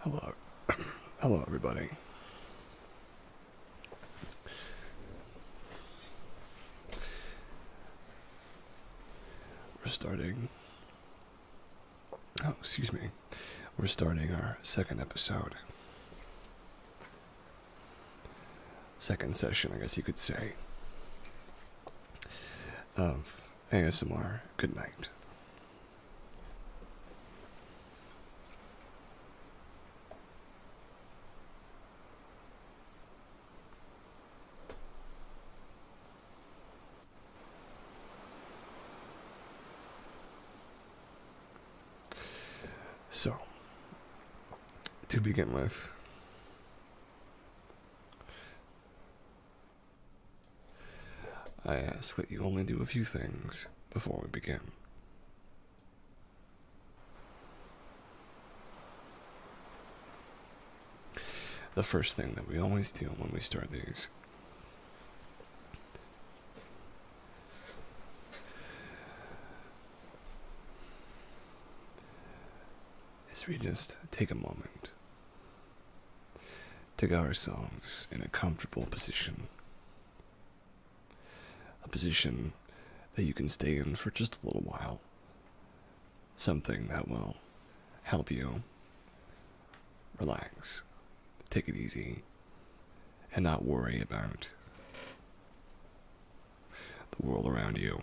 Hello. Hello, everybody. We're starting. Oh, excuse me. We're starting our second episode second session, I guess you could say, of ASMR. Good night. So, to begin with, I ask that you only do a few things before we begin. The first thing that we always do when we start these as we just take a moment to get ourselves in a comfortable position, a position that you can stay in for just a little while, something that will help you relax, take it easy, and not worry about the world around you,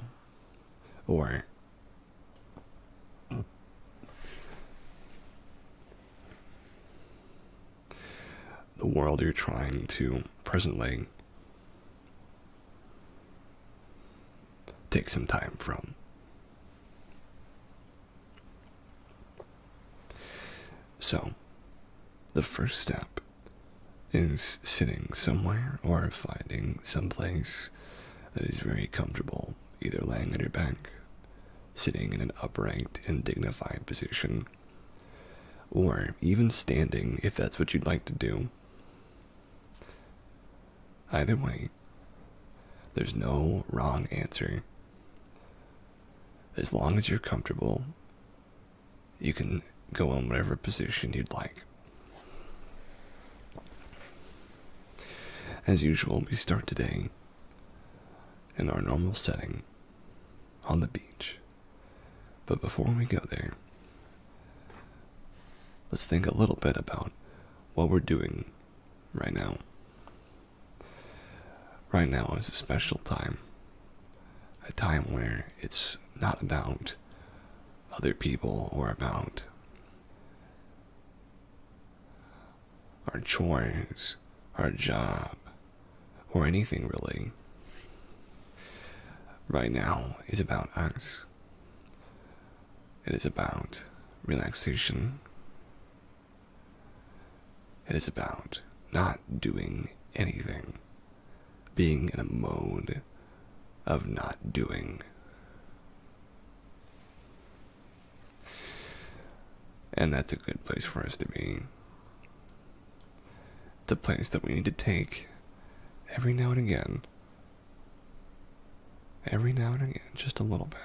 or the world you're trying to presently take some time from. So, the first step is sitting somewhere or finding some place that is very comfortable, either lying on your back, sitting in an upright and dignified position, or even standing if that's what you'd like to do. Either way, there's no wrong answer. As long as you're comfortable you can go in whatever position you'd like. As usual, we start today in our normal setting on the beach. But before we go there, let's think a little bit about what we're doing right now. Right now is a special time a time where it's not about other people or about our chores, our job, or anything really. Right now is about us. It is about relaxation. It is about not doing anything being in a mode of not doing. And that's a good place for us to be. It's a place that we need to take every now and again. Every now and again, just a little bit.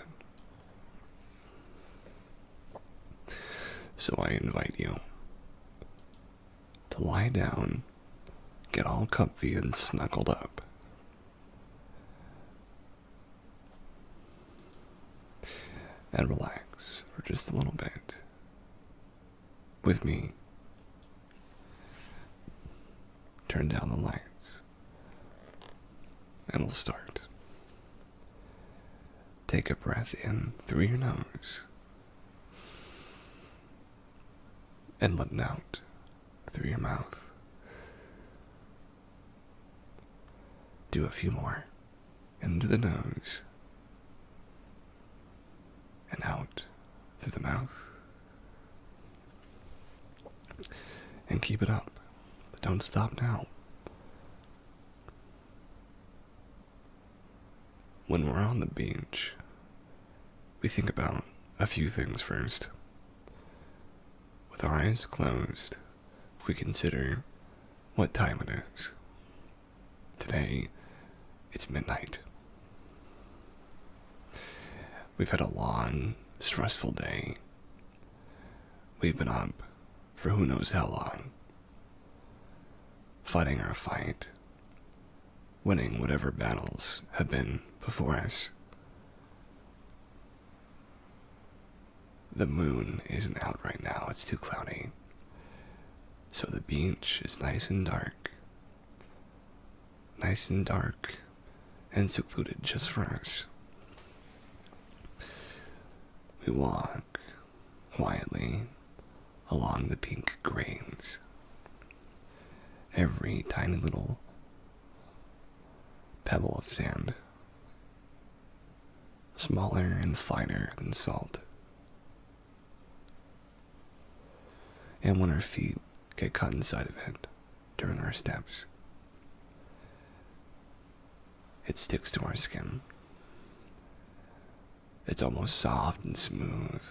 So I invite you to lie down, get all comfy and snuggled up. And relax for just a little bit with me. Turn down the lights and we'll start. Take a breath in through your nose and letting out through your mouth. Do a few more into the nose and out through the mouth. And keep it up. Don't stop now. When we're on the beach, we think about a few things first. With our eyes closed, we consider what time it is. Today, it's midnight. We've had a long, stressful day. We've been up for who knows how long, fighting our fight, winning whatever battles have been before us. The moon isn't out right now, it's too cloudy. So the beach is nice and dark. Nice and dark and secluded just for us. We walk quietly along the pink grains. Every tiny little pebble of sand, smaller and finer than salt. And when our feet get caught inside of it during our steps, it sticks to our skin. It's almost soft and smooth,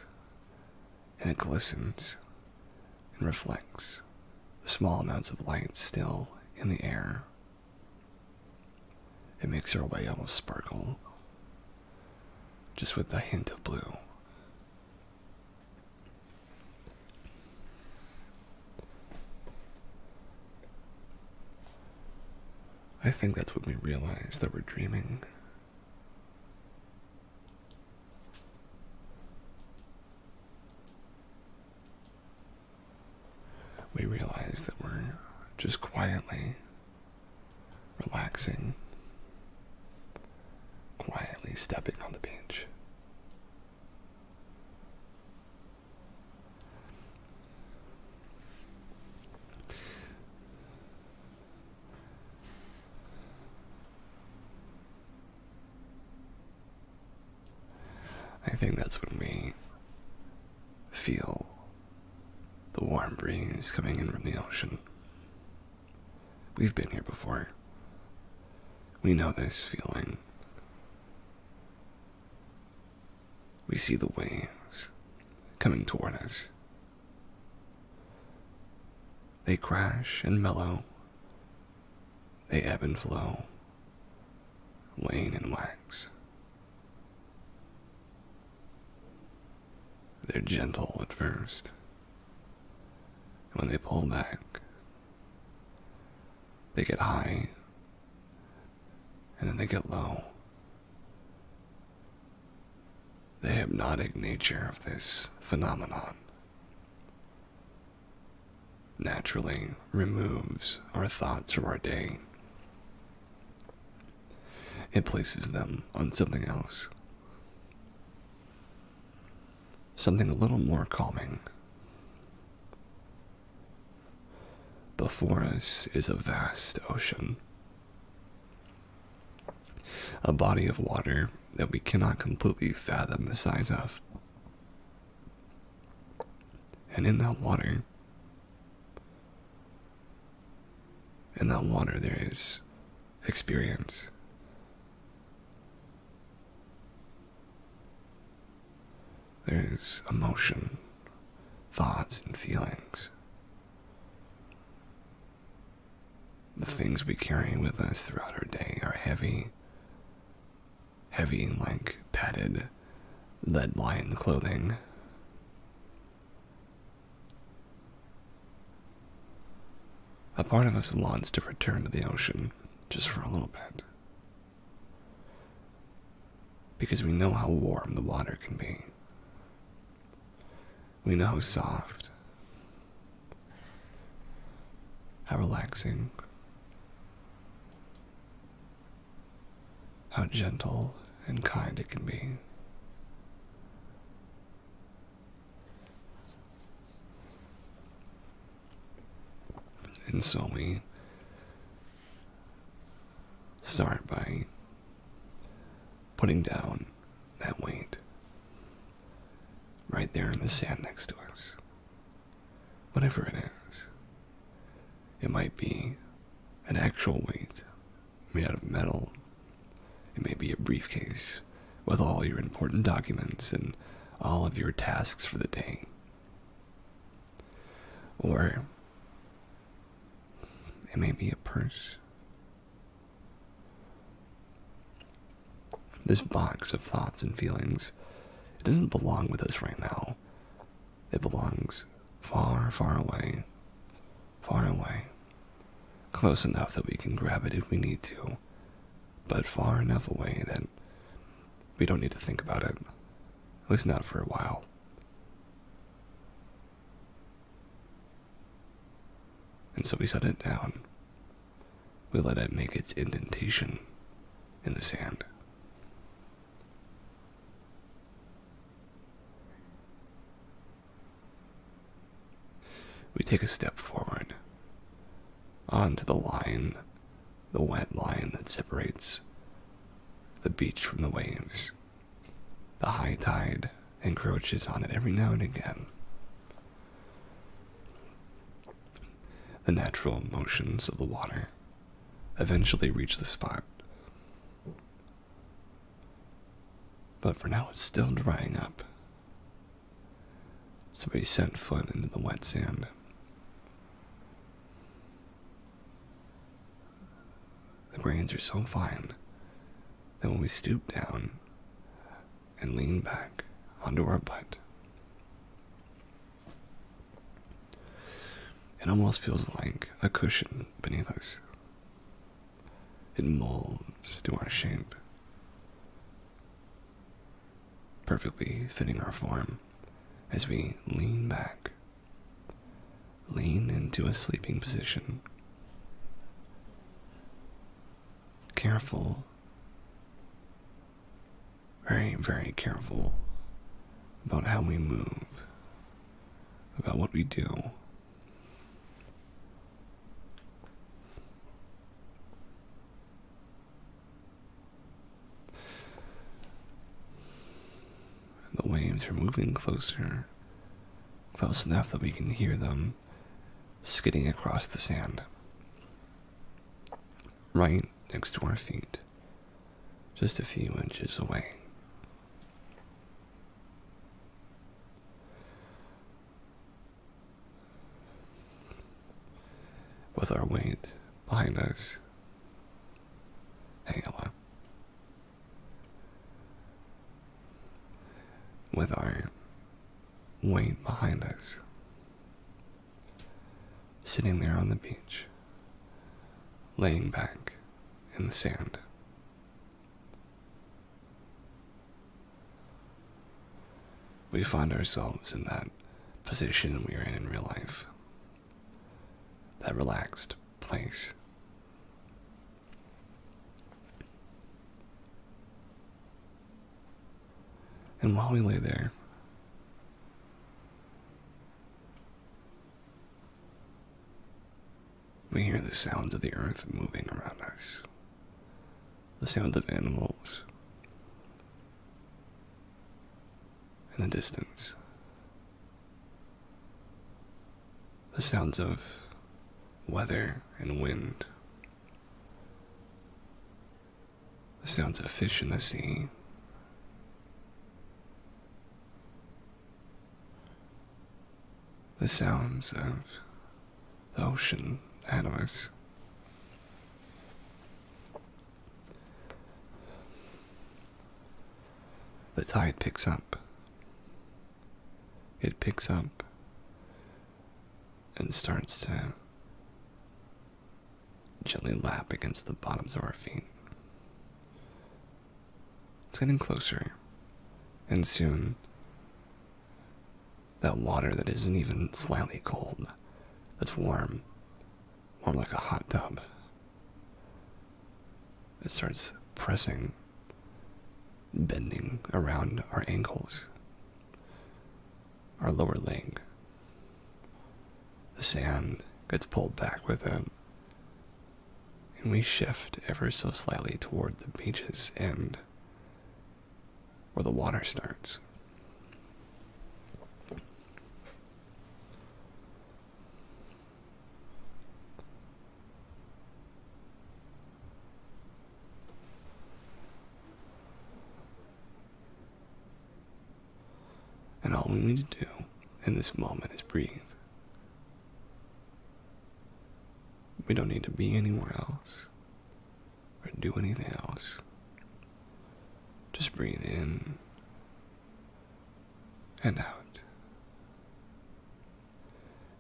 and it glistens and reflects the small amounts of light still in the air. It makes your eyes almost sparkle, just with a hint of blue. I think that's when we realize that we're dreaming. We realize that we're just quietly relaxing, quietly stepping on the beach. I think that's what we feel the warm breeze coming in from the ocean. We've been here before. We know this feeling. We see the waves coming toward us they crash and mellow, they ebb and flow, wane and wax. They're gentle at first. When they pull back, they get high, and then they get low, the hypnotic nature of this phenomenon naturally removes our thoughts from our day. It places them on something else. Something a little more calming. Before us is a vast ocean a body of water that we cannot completely fathom the size of. And in that water, in that water, there is experience. There is emotion, thoughts, and feelings. The things we carry with us throughout our day are heavy, heavy like padded lead lined clothing. A part of us wants to return to the ocean just for a little bit. Because we know how warm the water can be. We know how soft, how relaxing, how gentle and kind it can be. And so we start by putting down that weight. right there in the sand next to us. Whatever it is, it might be an actual weight made out of metal, it may be a briefcase with all your important documents and all of your tasks for the day. Or it may be a purse this box of thoughts and feelings, it doesn't belong with us right now. It belongs far, far away. Far away. Close enough that we can grab it if we need to, but far enough away that we don't need to think about it. At least not for a while. And so we set it down. We let it make its indentation in the sand. We take a step forward onto the line, the wet line that separates the beach from the waves. The high tide encroaches on it every now and again. The natural motions of the water eventually reach the spot. But for now, it's still drying up. So we sent foot into the wet sand. The grains are so fine then, when we stoop down and lean back onto our butt, it almost feels like a cushion beneath us. It molds to our shape, perfectly fitting our form as we lean back Lean into a sleeping position. Careful. Very, very careful about how we move, about what we do. The waves are moving closer close enough that we can hear them skidding across the sand. Right next to our feet, just a few inches away. With our weight behind us. Hey, with our weight behind us, sitting there on the beach, laying back in the sand. We find ourselves in that position we are in in real life, that relaxed place. And while we lay there, we hear the sounds of the earth moving around us, the sound of animals in the distance the sounds of weather and wind, the sounds of fish in the sea. The sounds of the ocean animals. The tide picks up. It picks up and starts to gently lap against the bottoms of our feet. It's getting closer, and soon that water that isn't even slightly cold, that's warm, warm like a hot tub, it starts pressing bending around our ankles, our lower leg. The sand gets pulled back with it, and we shift ever so slightly toward the beach's end where the water starts. And all we need to do in this moment is breathe. We don't need to be anywhere else or do anything else. Just breathe in and out.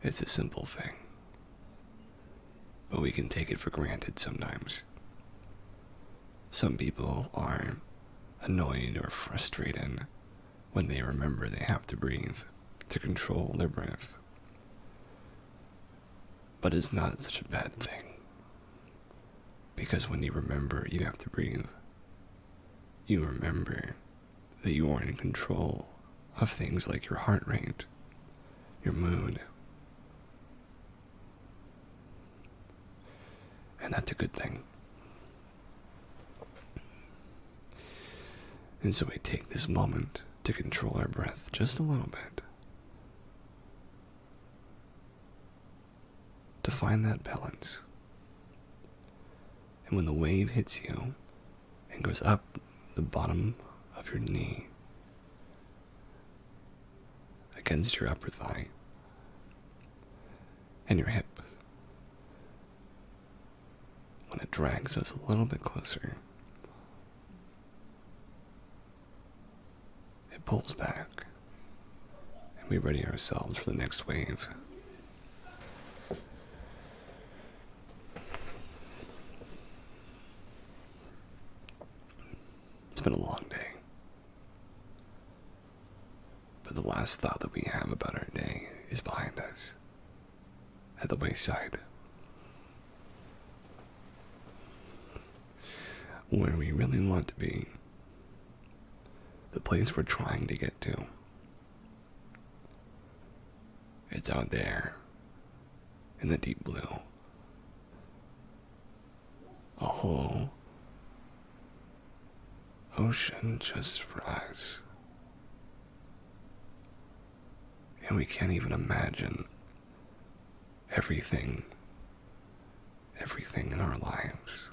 It's a simple thing. But we can take it for granted sometimes. Some people are annoyed or frustrated when they remember they have to breathe to control their breath. But it's not such a bad thing. Because when you remember you have to breathe, you remember that you are in control of things like your heart rate, your mood. And that's a good thing. And so we take this moment to control our breath just a little bit. To find that balance. And when the wave hits you, and goes up the bottom of your knee against your upper thigh and your hip. When it drags us a little bit closer, it pulls back, and we ready ourselves for the next wave. It's been a long day. But the last thought that we have about our day is behind us at the wayside, where we really want to be, the place we're trying to get to. It's out there in the deep blue. A whole ocean just for us. And we can't even imagine everything, everything in our lives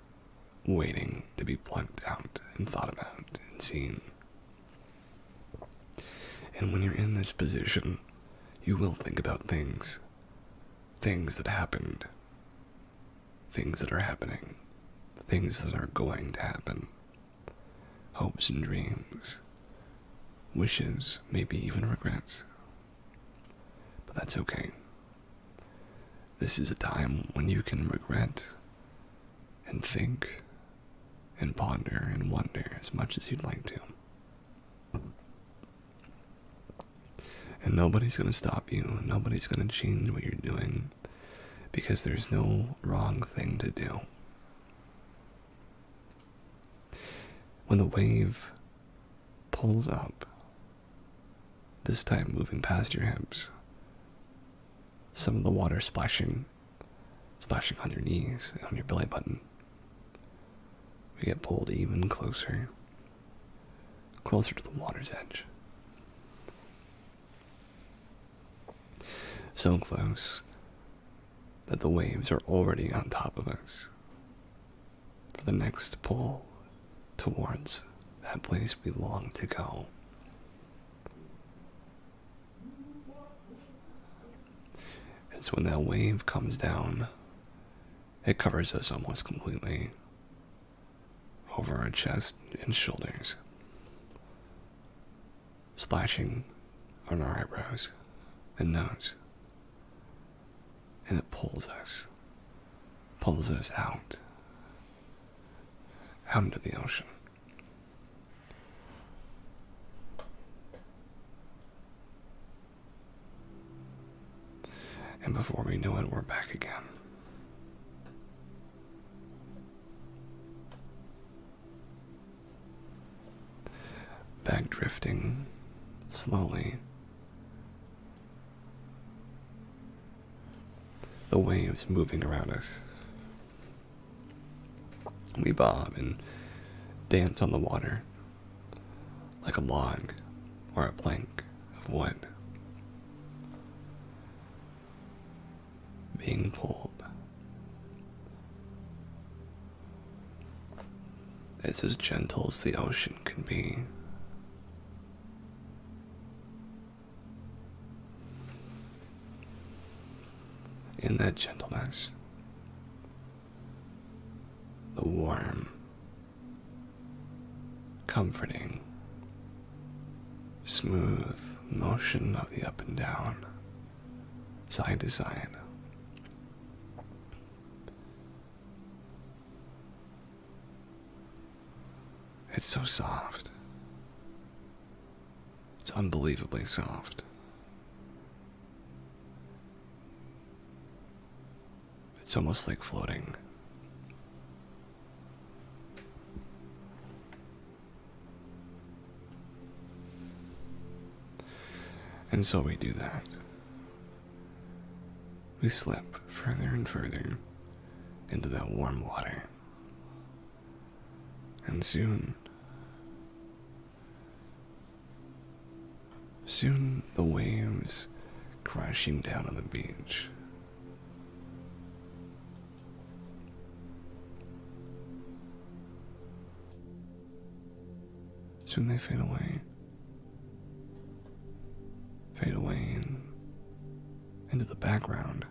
waiting to be plucked out and thought about and seen. And when you're in this position, you will think about things. Things that happened. Things that are happening. Things that are going to happen. Hopes and dreams. Wishes, maybe even regrets. But that's okay. This is a time when you can regret and think and ponder and wonder as much as you'd like to. And nobody's going to stop you. Nobody's going to change what you're doing because there's no wrong thing to do. When the wave pulls up, this time moving past your hips, some of the water splashing splashing on your knees on your belly button. We get pulled even closer, closer to the water's edge. So close that the waves are already on top of us. For the next pull towards that place we long to go. And so when that wave comes down, it covers us almost completely over our chest and shoulders, splashing on our eyebrows and nose. And it pulls us, pulls us out, out into the ocean. And before we knew it, we're back again. Back drifting slowly. The waves moving around us. We bob and dance on the water like a log or a plank of wood being pulled. It's as gentle as the ocean can be in that gentleness, the warm, comforting, smooth motion of the up and down, side to side. It's so soft. It's unbelievably soft. It's almost like floating. And so we do that. We slip further and further into that warm water. And soon, soon the waves crashing down on the beach. Soon they fade away, fade away into the background.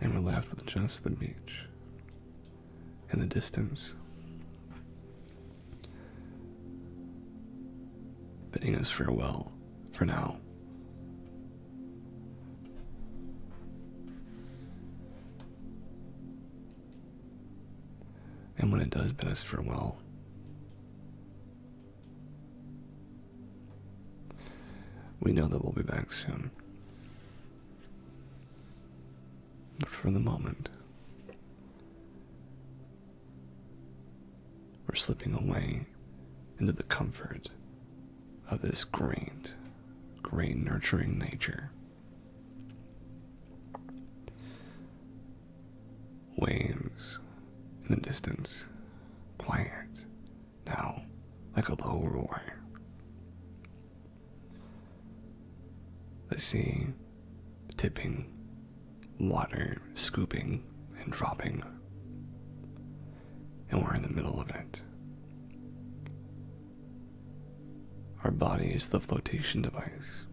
And we're left with just the beach and the distance. Bidding us farewell for now. And when it does bid us farewell, we know that we'll be back soon. But for the moment, we're slipping away into the comfort of this great, great nurturing nature. Waves in the distance, quiet, now like a low roar. The sea tipping, water scooping and dropping, and we're in the middle of it. Our body is the flotation device.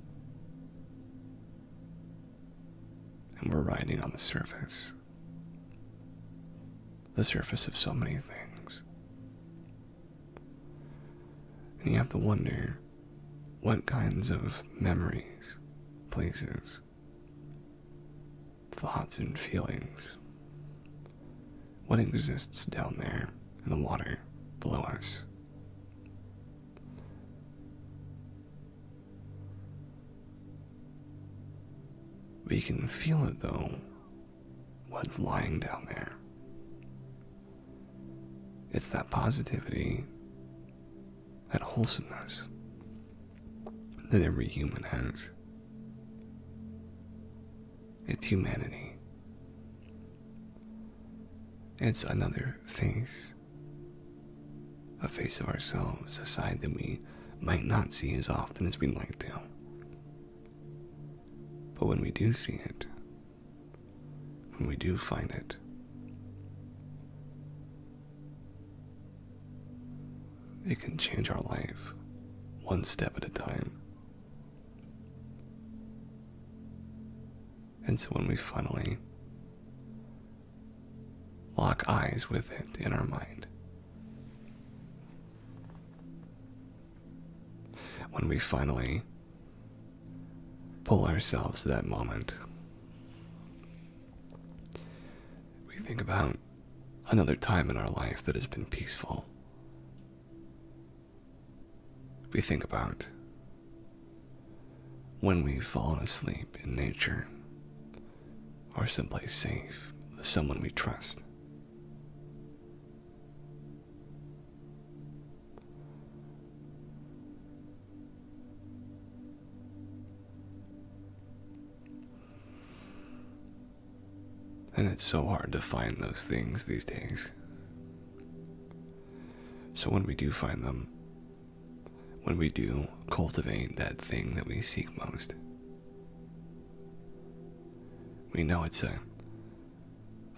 And we're riding on the surface. The surface of so many things. And you have to wonder what kinds of memories, places, thoughts, and feelings. What exists down there in the water below us? We can feel it though, what's lying down there. It's that positivity, that wholesomeness that every human has. It's humanity. It's another face. A face of ourselves, a side that we might not see as often as we'd like to. But when we do see it, when we do find it, it can change our life one step at a time. And so when we finally lock eyes with it in our mind, when we finally pull ourselves to that moment, we think about another time in our life that has been peaceful. We think about when we've fallen asleep in nature or someplace safe with someone we trust. And it's so hard to find those things these days. So when we do find them, when we do cultivate that thing that we seek most, we know it's a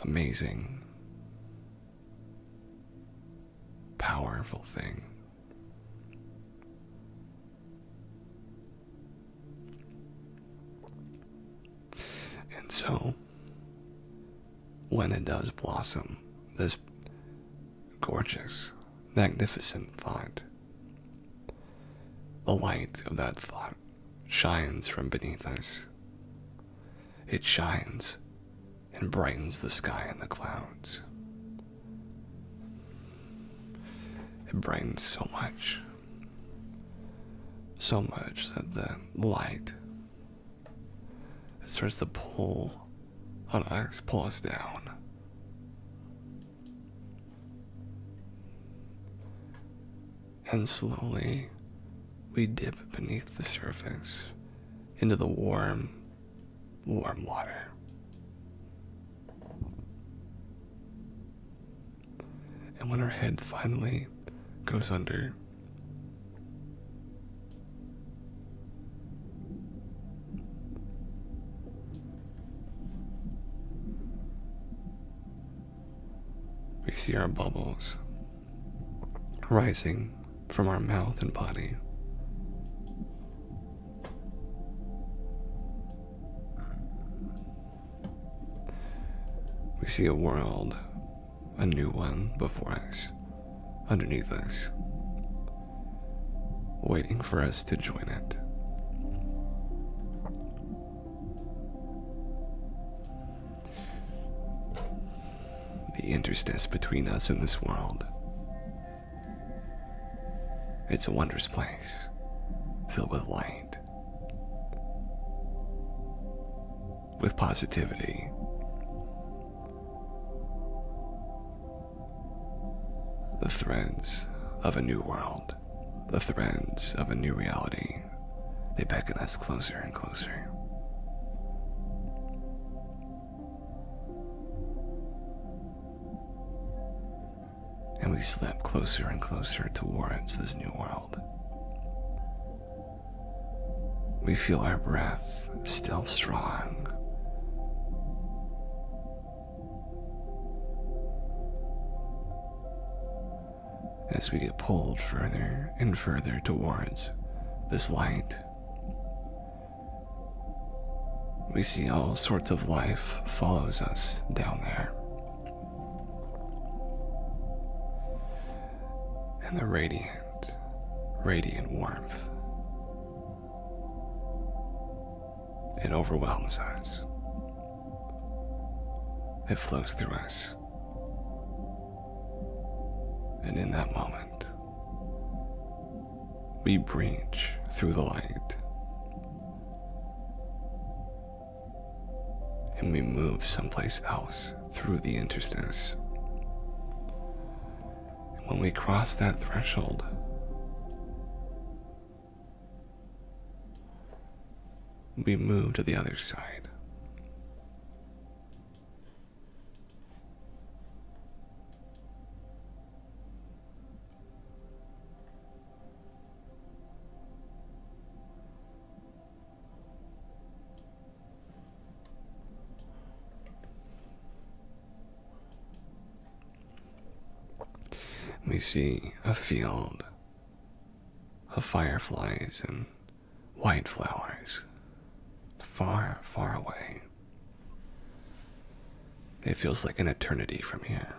amazing, powerful thing. And so, when it does blossom, this gorgeous, magnificent thought. The light of that thought shines from beneath us. It shines and brightens the sky and the clouds. It brightens so much. So much that the light it starts to pull on Iris Paws down. And slowly we dip beneath the surface into the warm, warm water. And when our head finally goes under, we see our bubbles rising from our mouth and body. We see a world a new one before us, underneath us, waiting for us to join it. The interstice between us and this world. It's a wondrous place, filled with light with positivity. The threads of a new world, the threads of a new reality, they beckon us closer and closer. And we slip closer and closer towards this new world. We feel our breath still strong. As we get pulled further and further towards this light, we see all sorts of life follows us down there and the radiant, radiant warmth. It overwhelms us. It flows through us. And in that moment, we breach through the light. And we move someplace else through the interstice. when we cross that threshold, we move to the other side. We see a field of fireflies and white flowers far, far away. It feels like an eternity from here.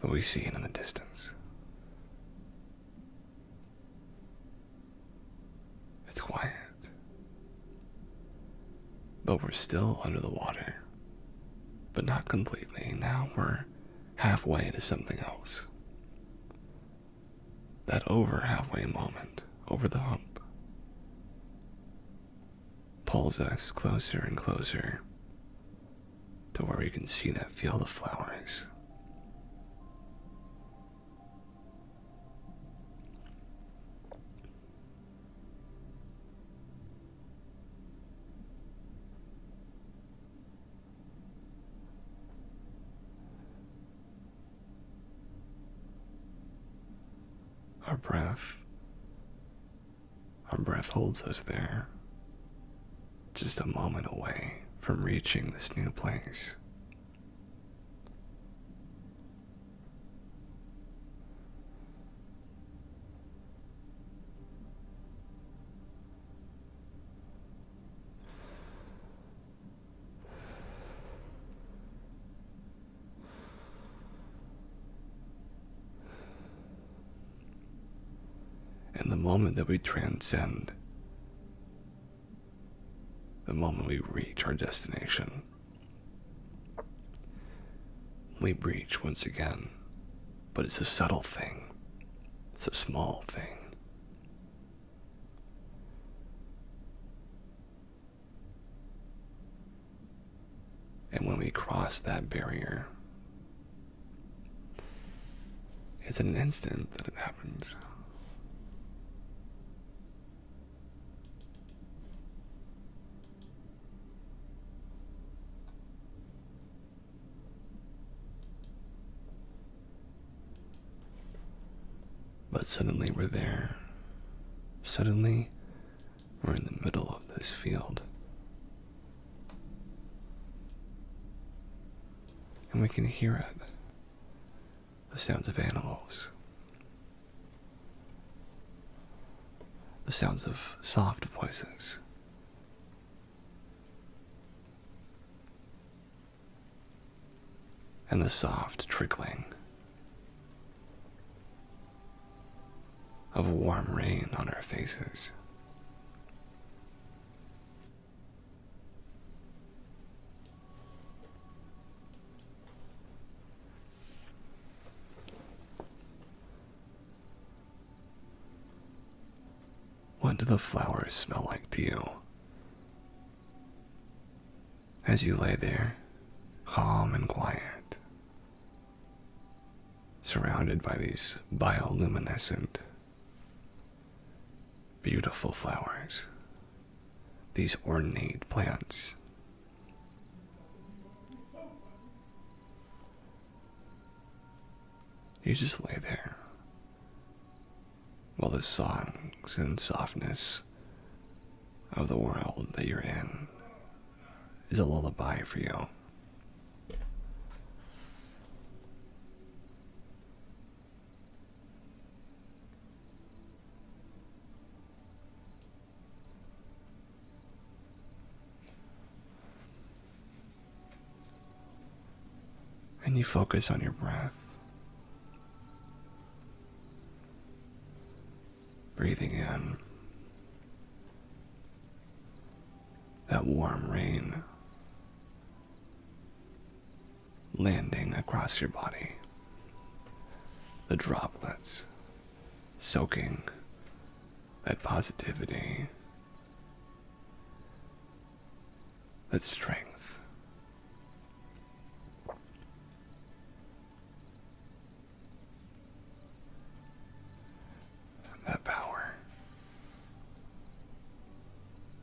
But we see it in the distance. It's quiet. But we're still under the water. But not completely. Now we're halfway to something else. That over halfway moment, over the hump, pulls us closer and closer to where we can see that, feel the flowers. Our breath, our breath holds us there just a moment away from reaching this new place. And the moment that we transcend, the moment we reach our destination, we breach once again. But it's a subtle thing, it's a small thing. And when we cross that barrier, it's an instant that it happens. But suddenly we're there. Suddenly we're in the middle of this field. And we can hear it the sounds of animals, the sounds of soft voices. And the soft trickling of warm rain on our faces. What do the flowers smell like to you? As you lay there, calm and quiet, surrounded by these bioluminescent Beautiful flowers. These ornate plants. You just lay there while the songs and softness of the world that you're in is a lullaby for you. And you focus on your breath. Breathing in that warm rain landing across your body. The droplets soaking that positivity, that strength. That power.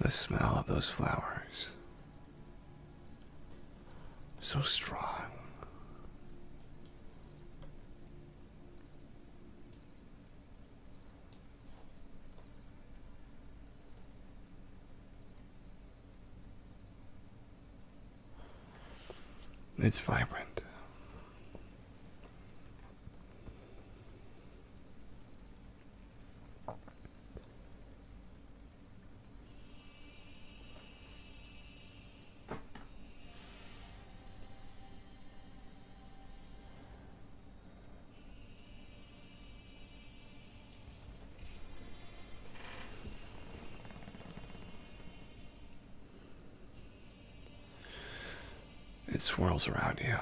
The smell of those flowers. So strong. It's vibrant. It swirls around you,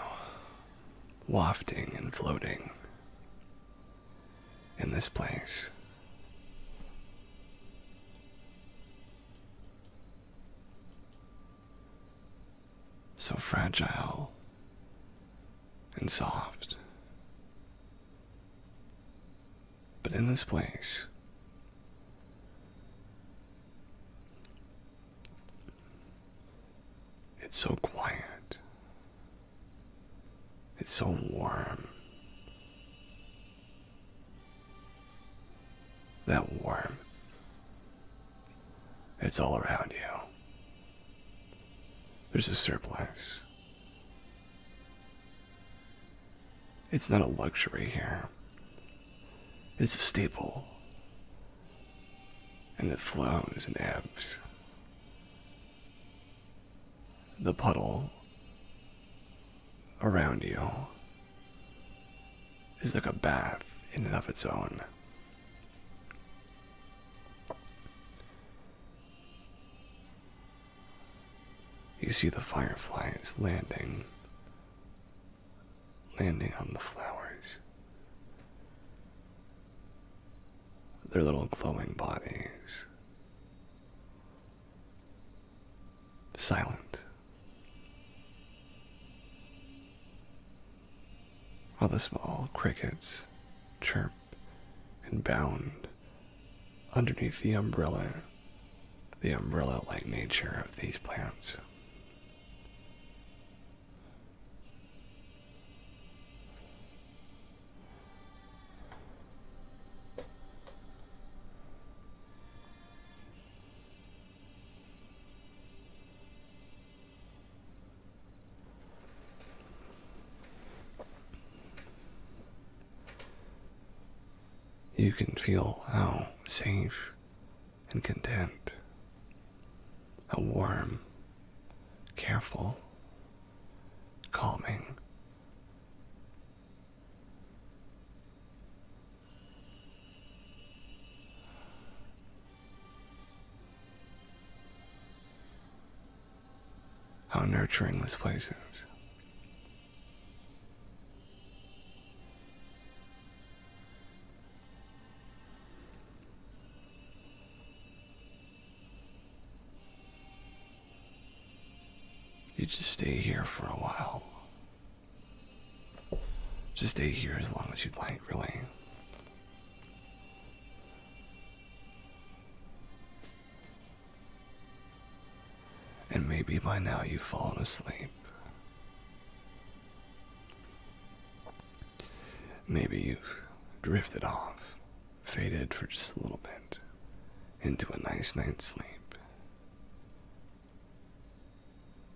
wafting and floating, in this place. So fragile and soft. But in this place, it's so quiet it's so warm. That warmth. It's all around you. There's a surplus. It's not a luxury here. It's a staple. And it flows and ebbs the puddle around you is like a bath in and of its own. You see the fireflies landing, landing on the flowers their little glowing bodies. Silent. While the small crickets chirp and bound underneath the umbrella, the umbrella like nature of these plants. You can feel how safe and content, how warm, careful, calming. How nurturing this place is. You just stay here for a while. Just stay here as long as you'd like, really. And maybe by now you've fallen asleep. Maybe you've drifted off faded for just a little bit into a nice night's sleep.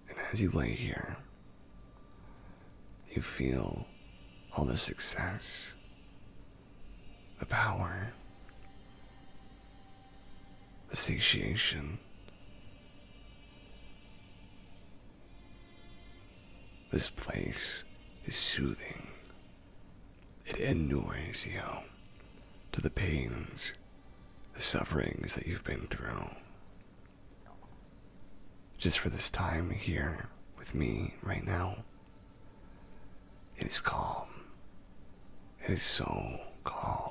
And as you lay here, you feel all the success, the power, the satiation this place is soothing. It annoys you to the pains, the sufferings that you've been through. Just for this time here with me right now, it is calm. It is so calm.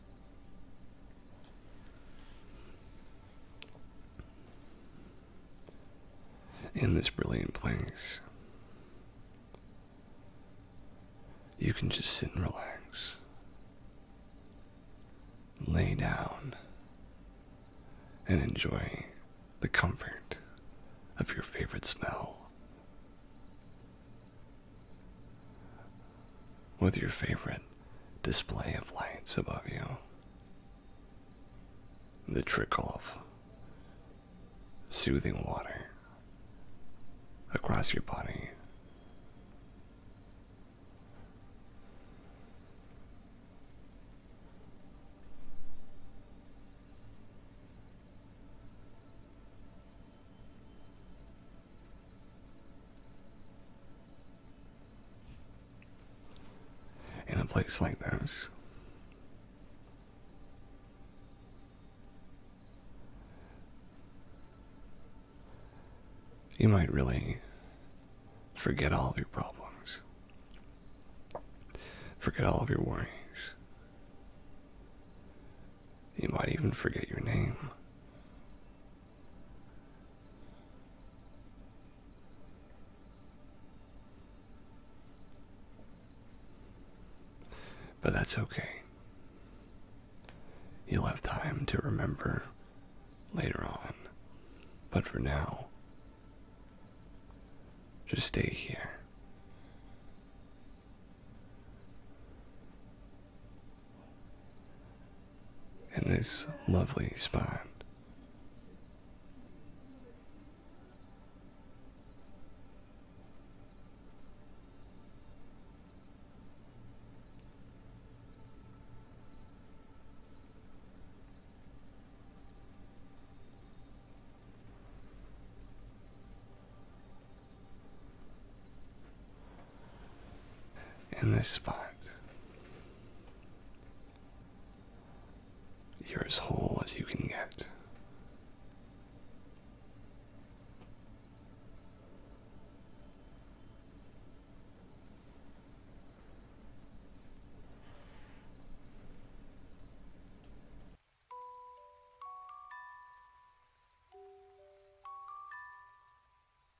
In this brilliant place, you can just sit and relax, lay down, and enjoy the comfort of your favorite smell with your favorite display of lights above you. The trickle of soothing water across your body in a place like this. You might really forget all of your problems, forget all of your worries. You might even forget your name. But that's okay. You'll have time to remember later on. But for now, just stay here in this lovely spot. In this spot, you're as whole as you can get.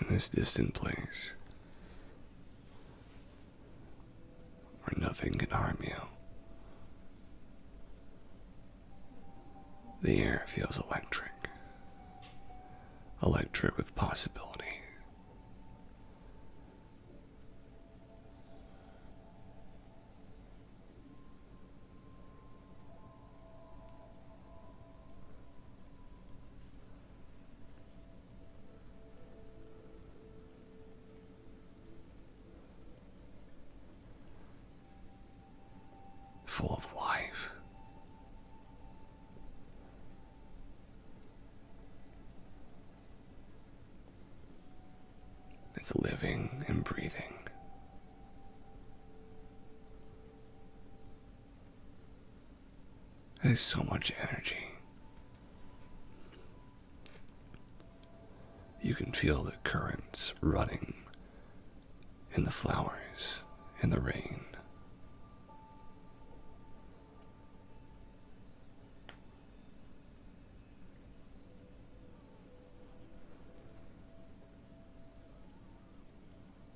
in this distant place where nothing can harm you. The air feels electric, electric with possibility full of life. It's living and breathing. There's so much energy. You can feel the currents running in the flowers, in the rain.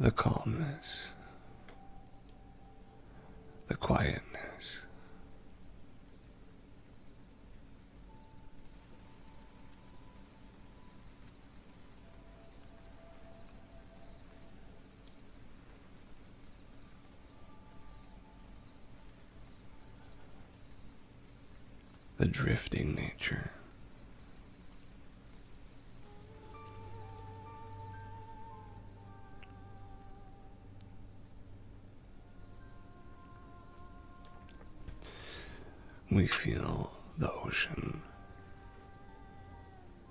The calmness, the quietness. The drifting nature. We feel the ocean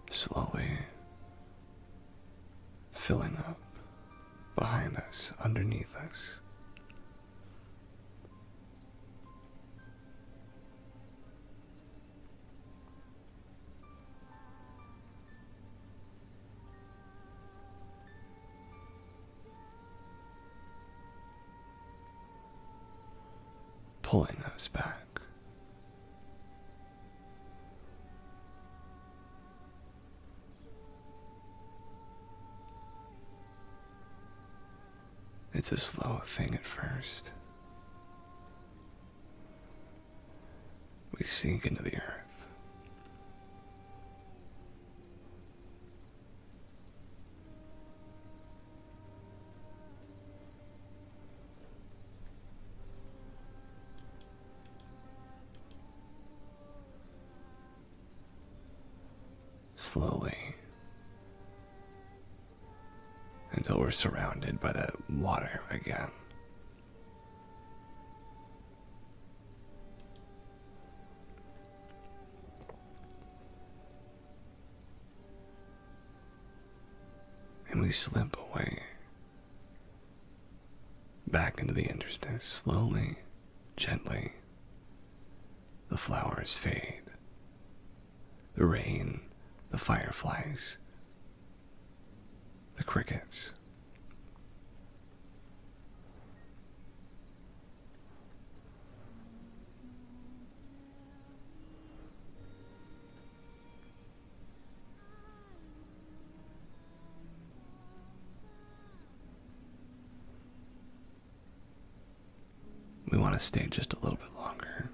slowly filling up behind us, underneath us. Pulling us back. It's a slow thing at first. We sink into the earth. Slowly. Until we're surrounded by the water again. And we slip away Back into the interstice, slowly, gently. The flowers fade. The rain, the fireflies, the crickets. We want to stay just a little bit longer.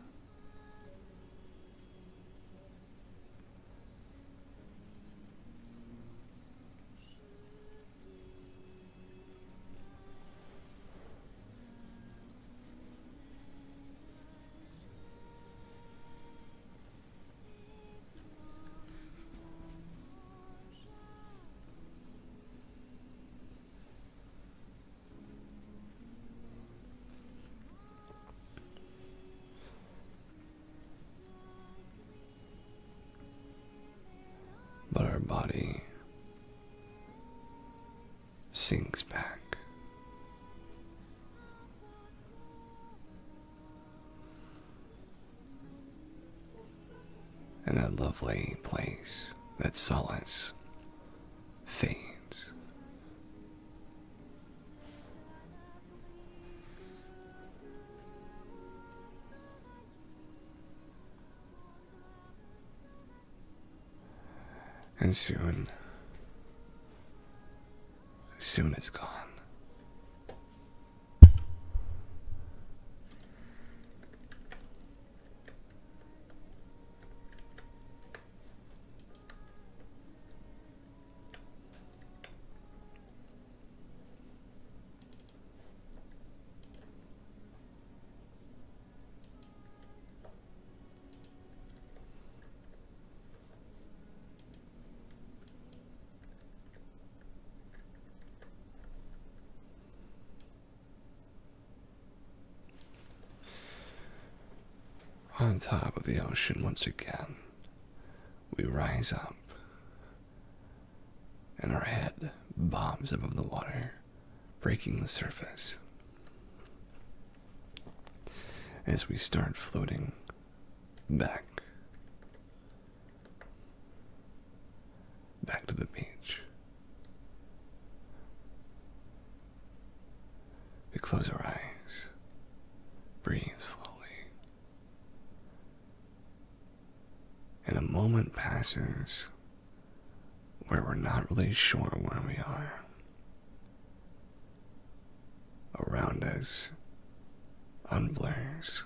But our body sinks back and a lovely place, that solace, fades. And soon Soon it's gone. On top of the ocean once again, we rise up, and our head bobs above the water, breaking the surface. As we start floating Back. Back to the beach. We close our eyes, breathe slowly. And a moment passes where we're not really sure where we are around us unblurs.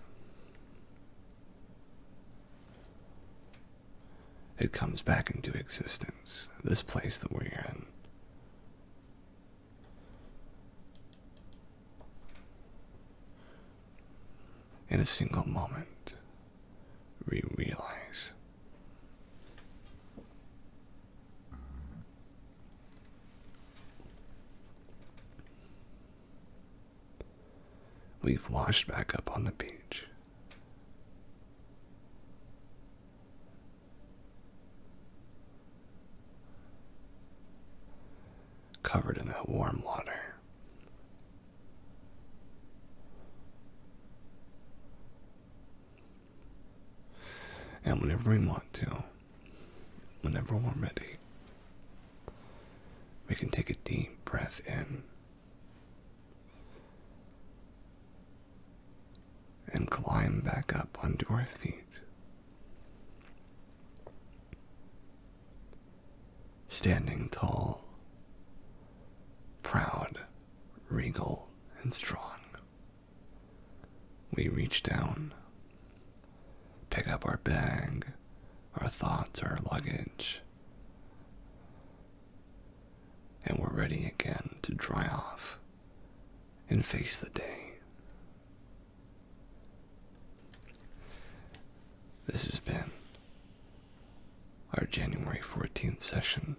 It comes back into existence, this place that we're in. In a single moment, we realize We've washed back up on the beach. Covered in that warm water. And whenever we want to, whenever we're ready, we can take a deep breath in and climb back up onto our feet. Standing tall, proud, regal, and strong. We reach down, pick up our bag, our thoughts, our luggage, and we're ready again to dry off and face the day. This has been our January 14th session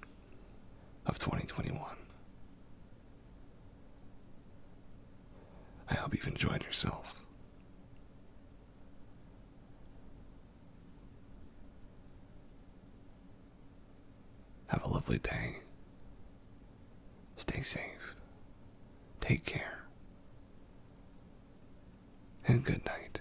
of 2021. I hope you've enjoyed yourself. Have a lovely day. Stay safe. Take care. And good night.